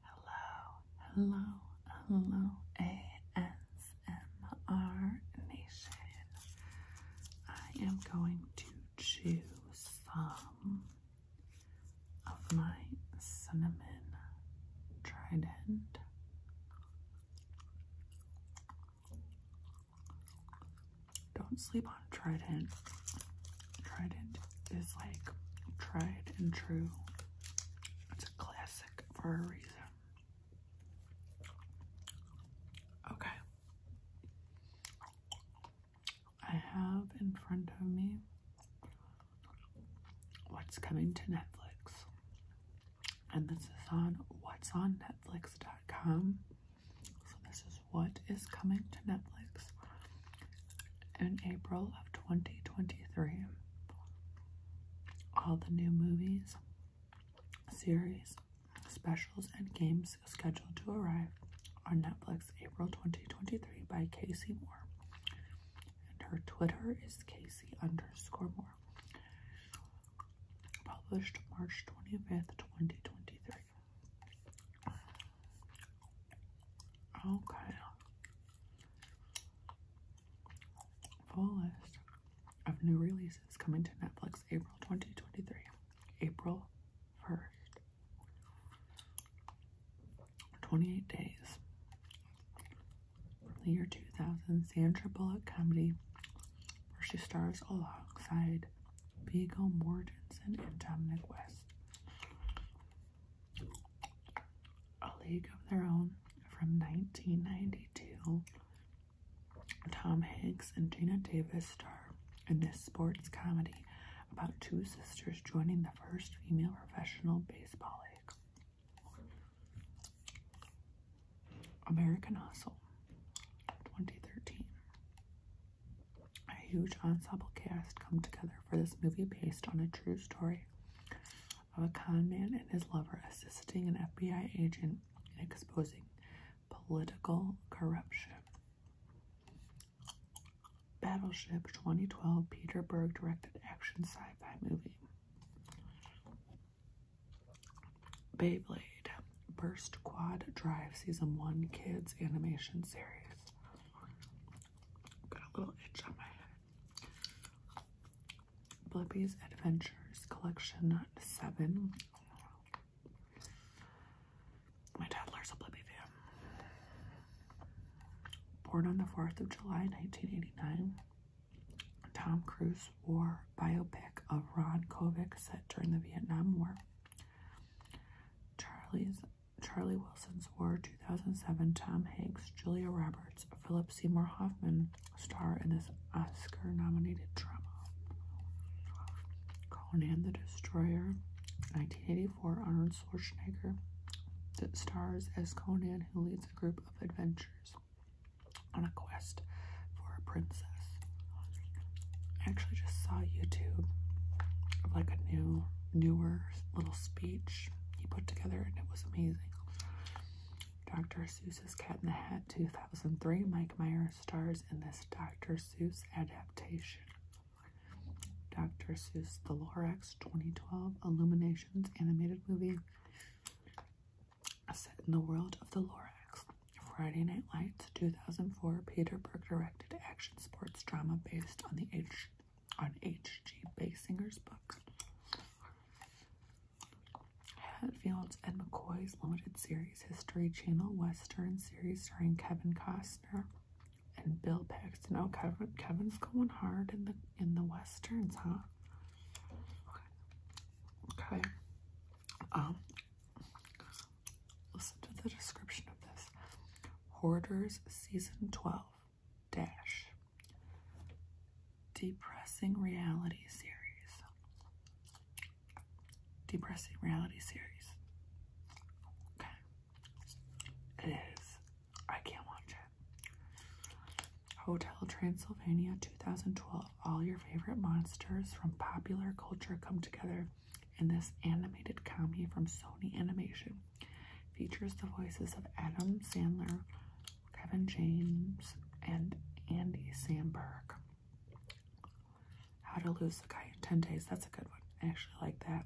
Hello, hello, hello, ASMR Nation. I am going to chew some of my cinnamon trident. Don't sleep on trident. Trident is like tried and true. It's a classic for a reason. Okay. I have in front of me what's coming to Netflix. And this is on what's on Netflix.com. So this is what is coming to Netflix in April of 2023. All the new movies, series, specials, and games scheduled to arrive on Netflix April 2023 by Casey Moore. And her Twitter is Casey underscore Moore. Published March 25th, 2023. Full list of new releases coming to Netflix April 2023. April 1st. 28 Days. the year 2000, Sandra Bullock comedy, where she stars alongside Viggo Mortensen and Dominic West. A League of Their Own from 1992. Tom Hanks and Gina Davis star in this sports comedy about two sisters joining the first female professional baseball league. American Hustle 2013. A huge ensemble cast come together for this movie based on a true story of a con man and his lover assisting an FBI agent in exposing political corruption. Battleship 2012 Peter Berg directed action sci-fi movie. Beyblade Burst Quad Drive Season 1 Kids Animation Series. Blippi's Adventures Collection 7. My toddler's a Blippi fan. Born on the 4th of July 1989, Tom Cruise wore biopic of Ron Kovic set during the Vietnam War. Charlie's Charlie Wilson's War 2007, Tom Hanks, Julia Roberts, Philip Seymour Hoffman star in this Oscar nominated drama. Conan the Destroyer, 1984, Arnold Schwarzenegger that stars as Conan, who leads a group of adventurers on a quest for a princess. I actually just saw YouTube of like a new, newer little speech he put together and it was amazing. Dr. Seuss's Cat in the Hat 2003. Mike Myers stars in this Dr. Seuss adaptation. Dr. Seuss The Lorax 2012 Illuminations animated movie set in the world of the Lorax. Friday Night Lights 2004 Peter Berg directed action sports drama based on the H on H.G. Basinger's book. Hatfield's and McCoy's limited series History Channel Western series starring Kevin Costner and Bill Paxton. Oh, Kevin, Kevin's going hard in the in the westerns, huh? Okay. Um. Listen to the description of this. Hoarders, season twelve dash depressing reality series depressing reality series okay it is i can't watch it hotel transylvania 2012 all your favorite monsters from popular culture come together in this animated comedy from sony animation Features the voices of Adam Sandler, Kevin James, and Andy Samberg. How to Lose a Guy in 10 Days. That's a good one. I actually like that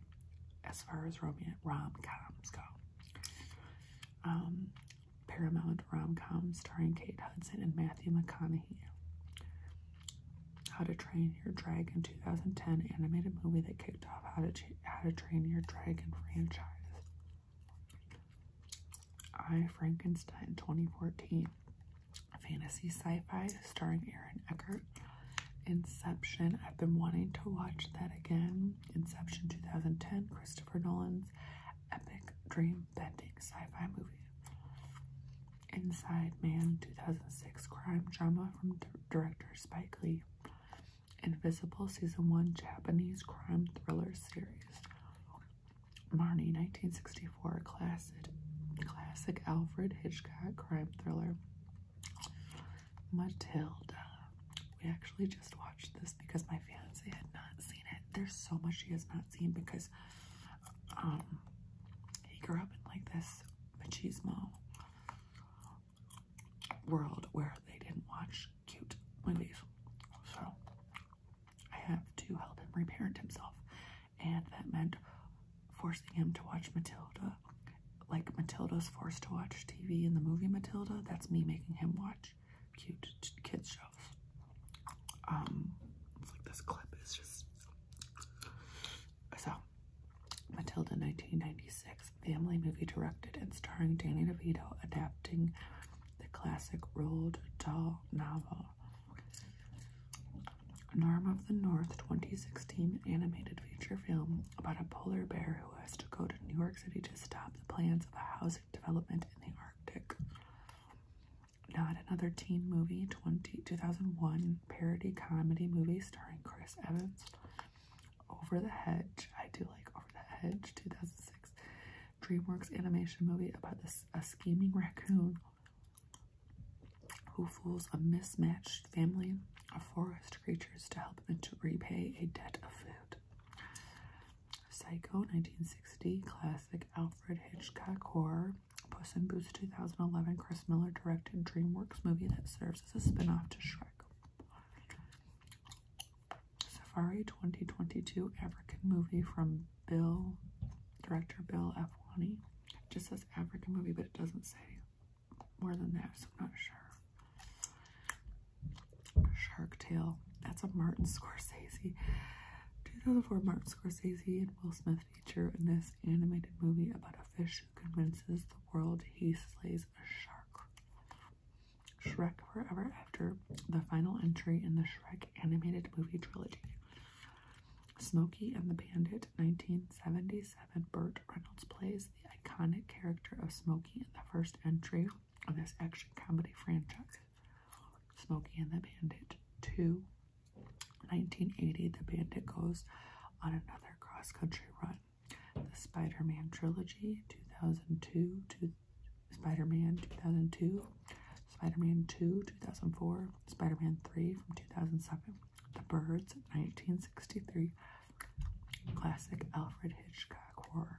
as far as romantic rom-coms go. Um, Paramount rom-com starring Kate Hudson and Matthew McConaughey. How to Train Your Dragon 2010 animated movie that kicked off How to how to Train Your Dragon franchise. I Frankenstein 2014, fantasy sci-fi starring Aaron Eckert. Inception. I've been wanting to watch that again. Inception 2010, Christopher Nolan's epic dream-bending sci-fi movie. Inside Man 2006 crime drama from director Spike Lee. Invisible Season 1 Japanese Crime Thriller Series. Marnie 1964 classic, classic Alfred Hitchcock crime thriller. Matilda. We actually just watched this because my fiance had not seen it. There's so much he has not seen because um he grew up in like this but she's machismo world where they didn't watch cute movies. So I have to help him reparent himself. And that meant forcing him to watch Matilda. Like Matilda's forced to watch TV in the movie Matilda, that's me making him watch cute kids shows. Um, it's like this clip is just so, Matilda, 1996, family movie directed and starring Danny DeVito, adapting the classic Roald Dahl novel. Norm of the North, 2016, animated feature film about a polar bear who has to go to New York City to stop the plans of a housing development in the Arctic. Not Another Teen Movie, 20, 2001, parody comedy movie starring Chris Evans over the Hedge. I do like Over the Hedge, 2006 DreamWorks animation movie about this a scheming raccoon who fools a mismatched family of forest creatures to help them to repay a debt of food. Psycho 1960 classic Alfred Hitchcock horror. Puss in Boots 2011 Chris Miller directed DreamWorks movie that serves this is a spinoff to Shrek. Safari 2022 African movie from Bill, director Bill F. It just says African movie, but it doesn't say more than that, so I'm not sure. Shark Tale. That's a Martin Scorsese. 2004 Martin Scorsese and Will Smith feature in this animated movie about a fish convinces the world he slays a shark. Shrek Forever After, the final entry in the Shrek animated movie trilogy. Smokey and the Bandit, 1977. Burt Reynolds plays the iconic character of Smokey in the first entry of this action comedy franchise. Smokey and the Bandit 2, 1980. The Bandit goes on another cross country run the Spider-Man trilogy, 2002 to Spider-Man 2002, Spider-Man 2, 2004, Spider-Man 3 from 2007, The Birds, 1963, classic Alfred Hitchcock horror.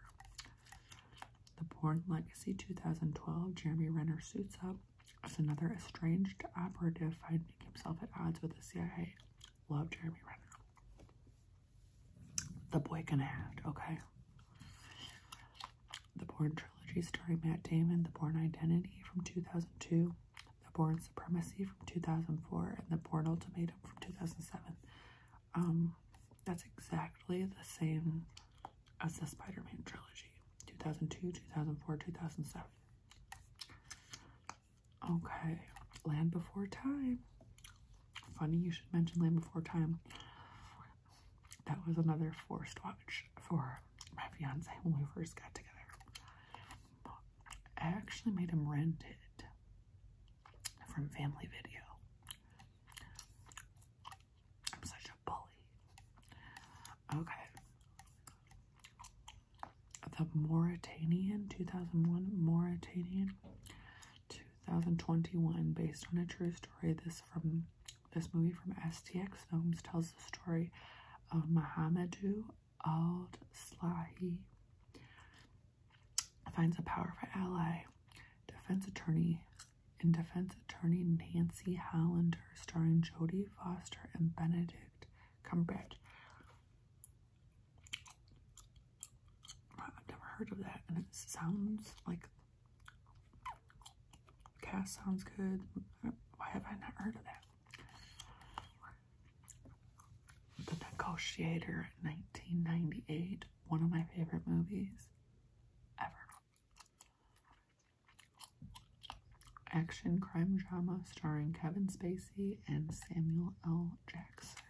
The Bourne Legacy 2012, Jeremy Renner suits up as another estranged operative finding himself at odds with the CIA. Love Jeremy Renner. The Boy Can Act, okay? The Born Trilogy starring Matt Damon, The Born Identity from 2002, The Born Supremacy from 2004, and The Born Ultimatum from 2007. Um, that's exactly the same as the Spider-Man trilogy, 2002, 2004, 2007. Okay, Land Before Time. Funny you should mention Land Before Time. That was another forced watch for my fiance when we first got together. I actually made him rent it from Family Video. I'm such a bully. Okay the Mauritanian 2001 Mauritanian 2021 based on a true story this from this movie from STX Films tells the story of Mahamadou Al-Slahi finds a powerful ally defense attorney and defense attorney Nancy Hollander starring Jodie Foster and Benedict Cumberbatch I've never heard of that, and it sounds like cast sounds good. Why have I not heard of that? The Negotiator, 1998, one of my favorite movies ever action crime drama starring Kevin Spacey and Samuel L. Jackson.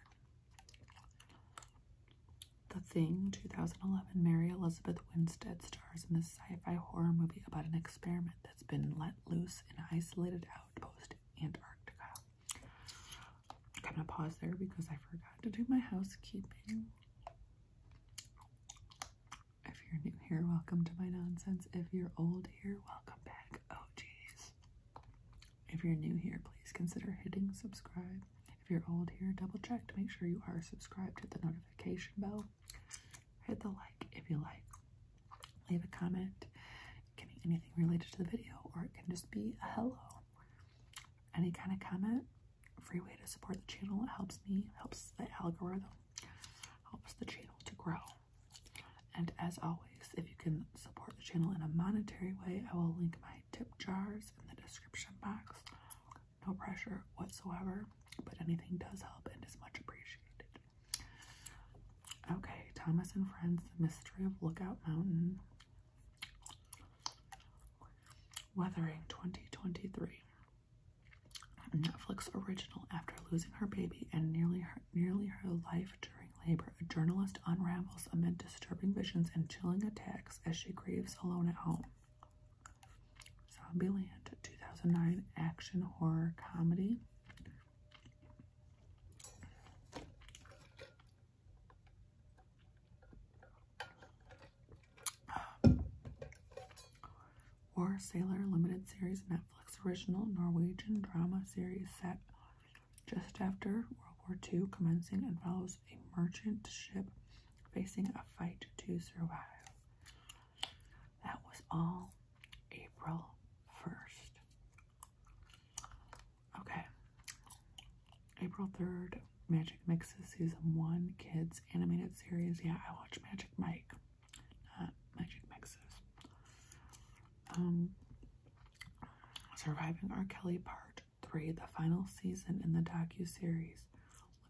The Thing 2011 Mary Elizabeth Winstead stars in this sci fi horror movie about an experiment that's been let loose in an isolated outpost Antarctica. I'm gonna pause there because I forgot to do my housekeeping. If you're new here, welcome to my nonsense. If you're old here, welcome back jeez. If you're new here, please consider hitting subscribe. If you're old here, double check to make sure you are subscribed. Hit the notification bell. Hit the like if you like. Leave a comment. can be anything related to the video, or it can just be a hello. Any kind of comment, free way to support the channel. It helps me, helps the algorithm, helps the channel to grow. And as always, if you can support the channel in a monetary way, I will link my tip jars in the description box. No pressure whatsoever, but anything does help and is much appreciated. Okay, Thomas and Friends, The Mystery of Lookout Mountain. Weathering 2023. Netflix original after losing her baby and nearly her nearly her life during labor, a journalist unravels amid disturbing visions and chilling attacks as she grieves alone at home. Zombieland 2009 action horror comedy. War Sailor Limited Series Netflix. Netflix original Norwegian drama series set just after World War II, commencing and follows a merchant ship facing a fight to survive. That was all April 1st. Okay. April 3rd, Magic Mixes Season 1 Kids Animated Series. Yeah, I watch Magic Mike magic mixes. Um, Surviving R. Kelly Part 3, the final season in the docu-series.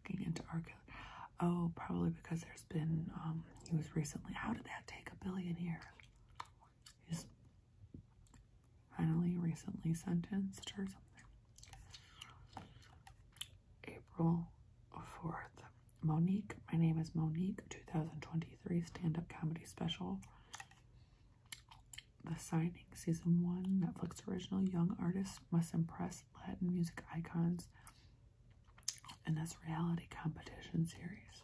Looking into R. Kelly. Oh, probably because there's been, um, he was recently, how did that take a billion years? He's finally recently sentenced or something. April 4th. Monique, my name is Monique, 2023 stand up comedy special. The Signing, Season 1, Netflix original. Young artists must impress Latin music icons in this reality competition series.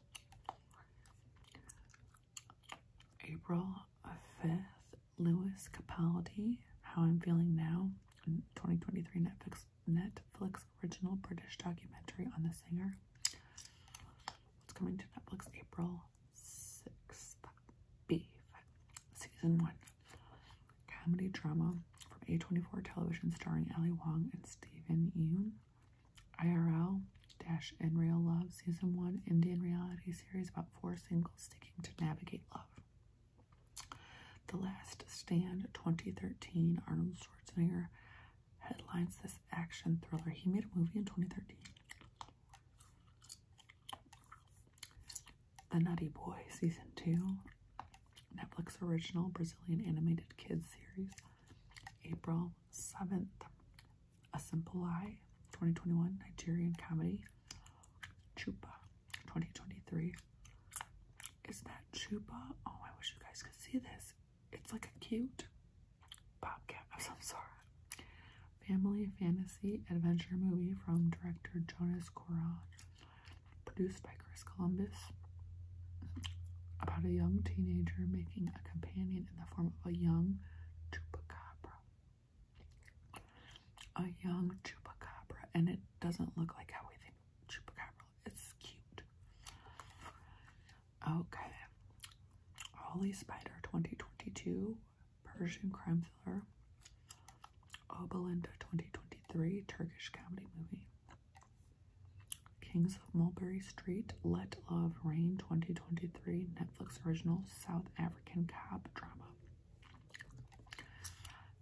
April 5th, Lewis Capaldi, How I'm Feeling Now, 2023 Netflix Netflix original British documentary on the singer. What's coming to Netflix April 6th. Beef. Season 1. Comedy drama from A24 Television starring Ellie Wong and Stephen Yeun. IRL Dash in Real Love Season 1 Indian reality series about four singles sticking to navigate love. The Last Stand 2013 Arnold Schwarzenegger headlines this action thriller. He made a movie in 2013. The Nutty Boy, Season 2, Netflix original Brazilian animated kids series, April 7th. A Simple Lie, 2021, Nigerian comedy, Chupa, 2023. Is that Chupa? Oh, I wish you guys could see this it's like a cute bobcat of some sort. Family fantasy adventure movie from director Jonas Coran, produced by Chris Columbus, about a young teenager making a companion in the form of a young chupacabra. A young chupacabra, and it doesn't look like how we think chupacabra it's cute. Okay. Holly Spider 2022 Persian crime thriller. Oh 2023 Turkish comedy movie. Kings of Mulberry Street, Let Love Reign 2023 Netflix original South African cop drama.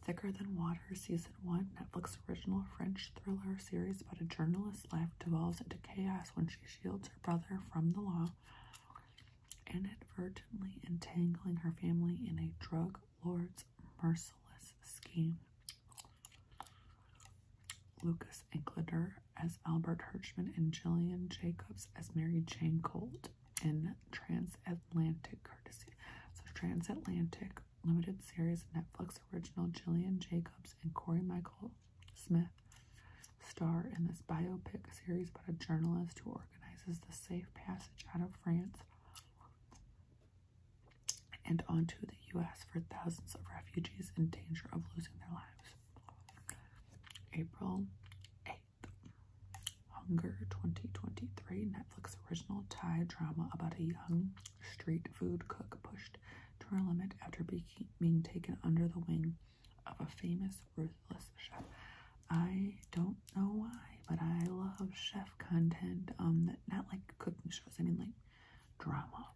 Thicker Than Water season 2001 Netflix original French thriller series about a journalist's life devolves into chaos when she shields her brother from the law, inadvertently entangling her family in a drug lord's merciless scheme. Lucas Incliter as Albert Hirschman and Jillian Jacobs as Mary Jane Colt in Transatlantic Courtesy. So Transatlantic limited series Netflix original Jillian Jacobs and Corey Michael Smith star in this biopic series about a journalist who organizes the safe passage out of France and onto the U.S. for thousands of refugees in danger of losing their lives. April 8th. Hunger 2023 Netflix original Thai drama about a young street food cook pushed to her limit after being taken under the wing of a famous ruthless chef. I don't know why, but I love chef content. Um, that, not like cooking shows. I mean, like drama,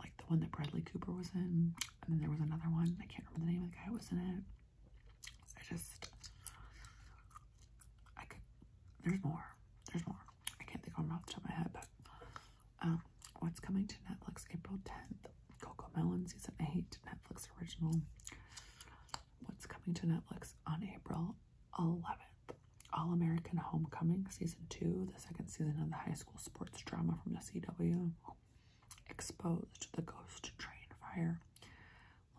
like the one that Bradley Cooper was in, and then there was another one. I can't remember the name of the guy who was in it. I just I could. There's more. There's more. I can't think of them off the top of my head, but um, what's coming to Netflix April 10th? Coco Melon season 8, Netflix original. What's coming to Netflix on April 11th? All American Homecoming season 2, the second season of the high school sports drama from the CW. Exposed the Ghost Train Fire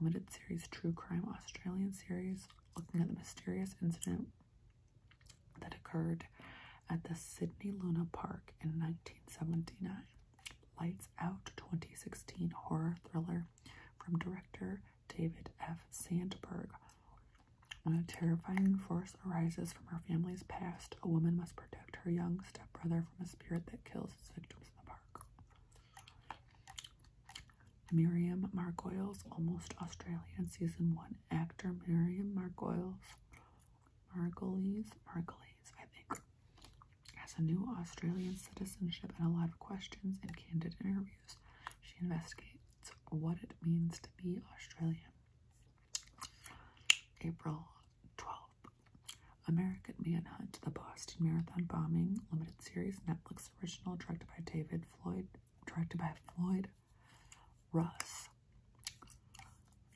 limited series true crime Australian series looking at the mysterious incident that occurred at the Sydney Luna Park in 1979. Lights Out 2016 horror thriller from director David F. Sandberg. When a terrifying force arises from her family's past, a woman must protect her young stepbrother from a spirit that kills its victims in the park. Miriam Margoyles, Almost Australian, Season 1. Actor Miriam Margoyles, Margolyes, Margolyes, I think, has a new Australian citizenship and a lot of questions and candid interviews. She investigates what it means to be Australian. April 12th. American Manhunt, The Boston Marathon Bombing, limited series, Netflix original, directed by David Floyd, directed by Floyd Russ.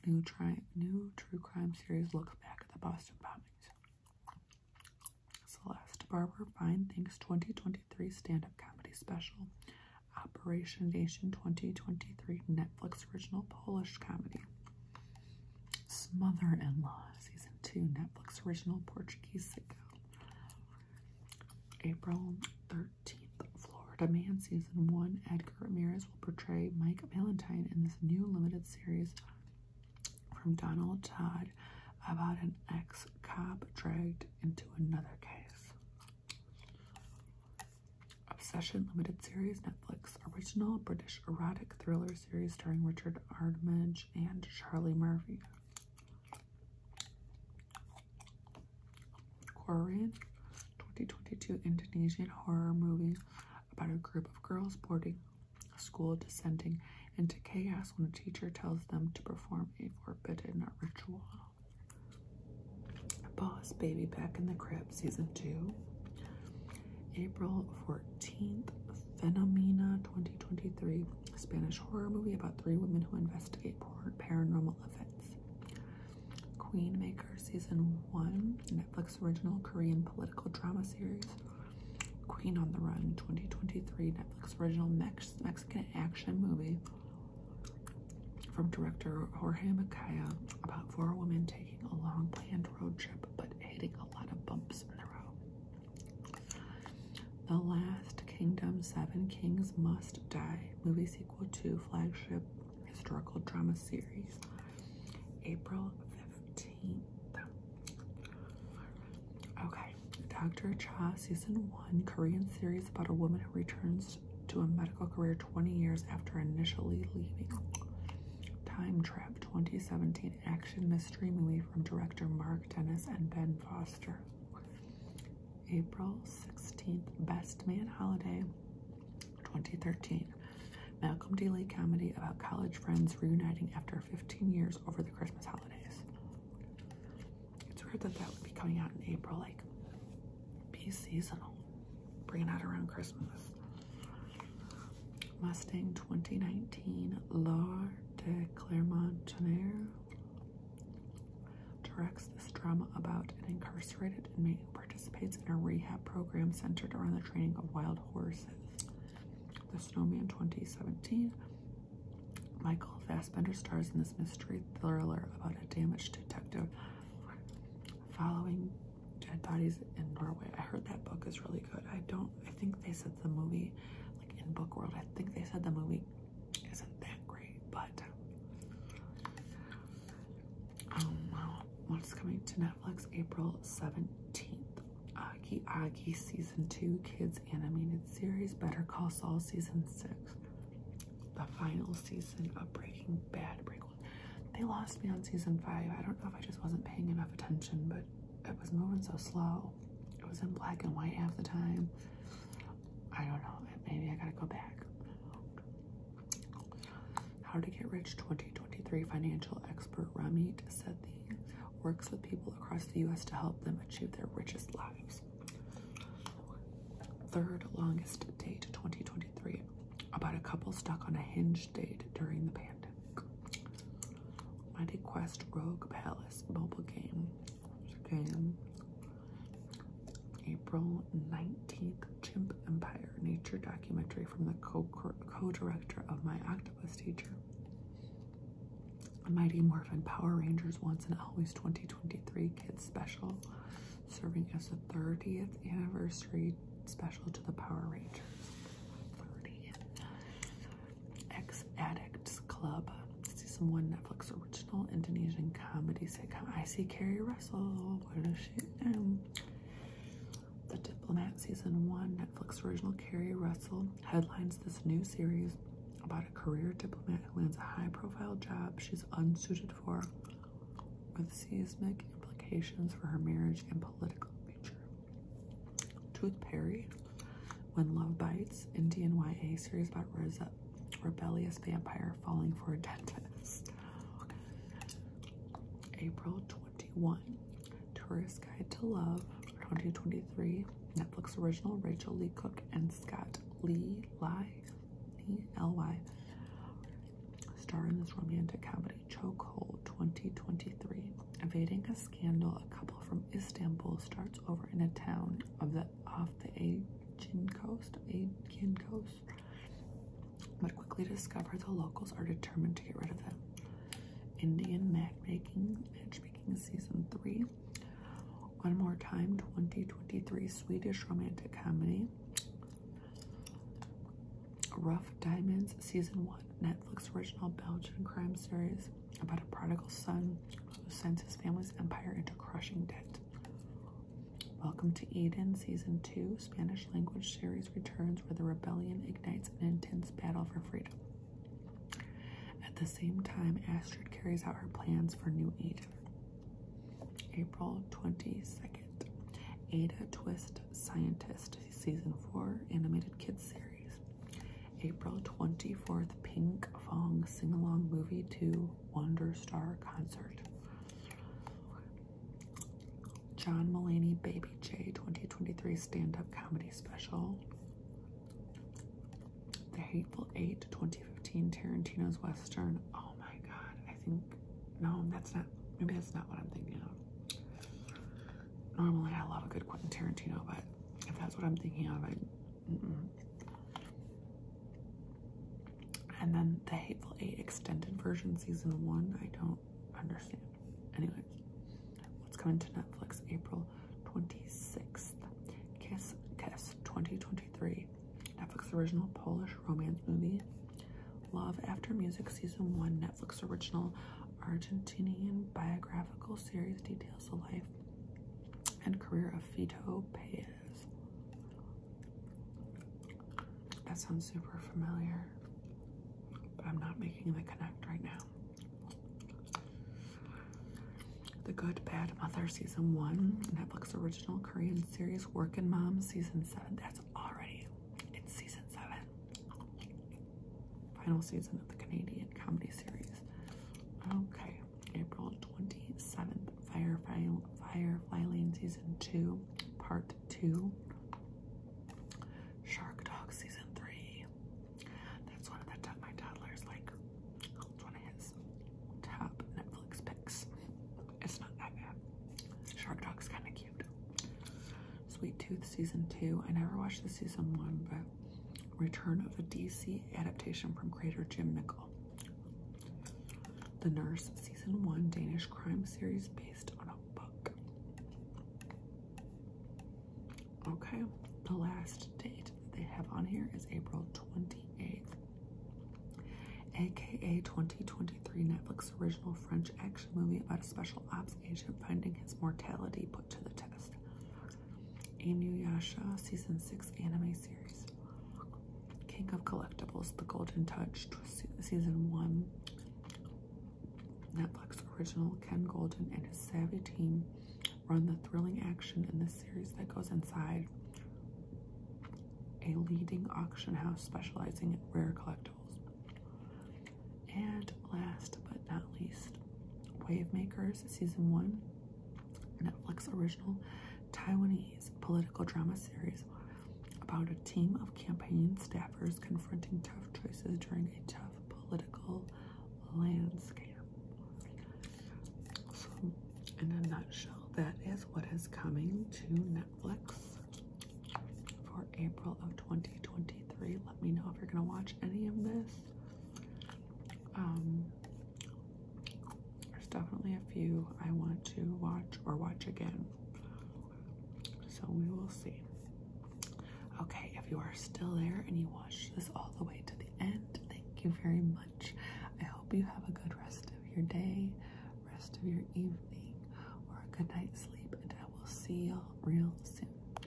New, tri new true crime series looks back at the Boston bombings. Celeste Barber Fine Thinks 2023 stand up comedy special. Operation Nation 2023 Netflix original Polish comedy. Smother in Law Season 2 Netflix original Portuguese sitcom. April 13th, Florida Man Season 1. Edgar Ramirez will portray Mike Valentine in this new limited series from Donald Todd about an ex cop dragged into another case. Obsession Limited Series, Netflix original British erotic thriller series starring Richard Armitage and Charlie Murphy. Korean 2022 Indonesian horror movie about a group of girls boarding a school descending into chaos when a teacher tells them to perform a forbidden ritual. Boss Baby Back in the Crib Season 2 April 14th Phenomena 2023 a Spanish horror movie about three women who investigate paranormal events. Queen Maker Season 1, Netflix original Korean political drama series. Queen on the Run 2023, Netflix original Mex Mexican action movie from director Jorge Macaya about four women taking a long planned road trip but hitting a lot of bumps in the road. The Last Kingdom Seven Kings Must Die, movie sequel to flagship historical drama series, April 15th. Okay, Dr. Cha, season one, Korean series about a woman who returns to a medical career 20 years after initially leaving. Time Trap 2017 action mystery movie from director Mark Dennis and Ben Foster. April 16th, Best Man Holiday 2013. Malcolm D. Lee comedy about college friends reuniting after 15 years over the Christmas holidays. It's weird that that would be coming out in April, like, be seasonal. Bring it out around Christmas. Mustang 2019 L'Art de Clermont Tonnerre directs this drama about an incarcerated inmate who participates in a rehab program centered around the training of wild horses. The Snowman 2017 Michael Fassbender stars in this mystery thriller about a damaged detective following dead bodies in Norway. I heard that book is really good. I don't, I think they said the movie like in book world. I think they said the movie isn't that great, but um, what's coming to Netflix April 17th? Aki Aki season 2 kids animated series, Better Call Saul season 6, the final season of Breaking Bad prequel. They lost me on season 5. I don't know if I just wasn't paying enough attention, but it was moving so slow. It was in black and white half the time. I don't know. Maybe I gotta go back. How to Get Rich 2023 financial expert Ramit Sethi works with people across the U.S. to help them achieve their richest lives. Third longest date 2023 about a couple stuck on a hinge date during the pandemic. Mighty Quest Rogue Palace mobile game. Game April 19th. Chimp Empire Nature documentary from the co-director of My Octopus Teacher. Mighty Morphin Power Rangers Once and Always 2023 Kids Special, serving as the 30th anniversary special to the Power Rangers. Ex Addicts Club. See some 1 Netflix original Indonesian comedy sitcom. I see Carrie Russell. What is she The Diplomat Season 1 Netflix original Carrie Russell headlines this new series about a career diplomat who lands a high profile job she's unsuited for with seismic implications for her marriage and political future. Truth Perry, When Love Bites, Indian YA series about Rosa, rebellious vampire falling for a dentist. April 21, Tourist Guide to Love, 2023, Netflix original, Rachel Lee Cook and Scott Lee Lai, E-L-Y, star in this romantic comedy, Chokehold 2023, evading a scandal, a couple from Istanbul starts over in a town of the off the Aegean coast, Aegean coast, but quickly discover the locals are determined to get rid of them. Indian matchmaking, matchmaking season three. One more time, 2023 Swedish romantic comedy. Rough Diamonds season one, Netflix original Belgian crime series about a prodigal son who sends his family's empire into crushing debt. Welcome to Eden, Season 2, Spanish language series returns where the rebellion ignites an intense battle for freedom. At the same time, Astrid carries out her plans for New Eden. April 22nd, Ada Twist Scientist, Season 4, Animated Kids Series. April 24th, Pink Fong Sing Along Movie 2 Wonder Star Concert. John Mulaney Baby J 2023 Stand Up Comedy Special. The Hateful Eight 2015 Tarantino's Western. Oh my god, I think. No, that's not. Maybe that's not what I'm thinking of. Normally, I love a good Quentin Tarantino, but if that's what I'm thinking of, I. And then the Hateful Eight extended version, season one. I don't understand. Anyway, what's coming to Netflix April 26th? Kiss Kiss 2023. Netflix original Polish romance movie. Love After Music season one. Netflix original Argentinian biographical series details the life and career of Fito Paez. That sounds super familiar, but I'm not making the connect right now. The Good Bad Mother Season 1, Netflix original Korean series Working Mom Season 7. That's already in Season 7. Final season of the Canadian comedy series. Okay, April 27th, Firefly, Firefly Lane Season 2, Part 2. Shark Dog Season 3. That's one of the my toddlers like. one of his top Netflix picks. It's not that bad. Shark Dog's kind of cute. Sweet Tooth Season 2. I never watched the Season 1, but return of a DC adaptation from creator Jim Nicol. The Nurse, season one Danish crime series based on a book. Okay, the last date they have on here is April 28th, aka 2023 Netflix original French action movie about a special ops agent finding his mortality put to the test. Inuyasha Season 6 Anime Series, King of Collectibles, The Golden Touch, Season 1, Netflix original Ken Golden and his savvy team run the thrilling action in this series that goes inside a leading auction house specializing in rare collectibles. And last but not least, Wavemakers Season 1, Netflix original Taiwanese political drama series about a team of campaign staffers confronting tough choices during a tough political landscape. So, in a nutshell, that is what is coming to Netflix for April of 2023. Let me know if you're going to watch any of this. Um, there's definitely a few I want to watch or watch again. So we will see. Okay, if you are still there and you watched this all the way to the end, thank you very much. I hope you have a good rest of your day, rest of your evening, or a good night's sleep, and I will see you real soon.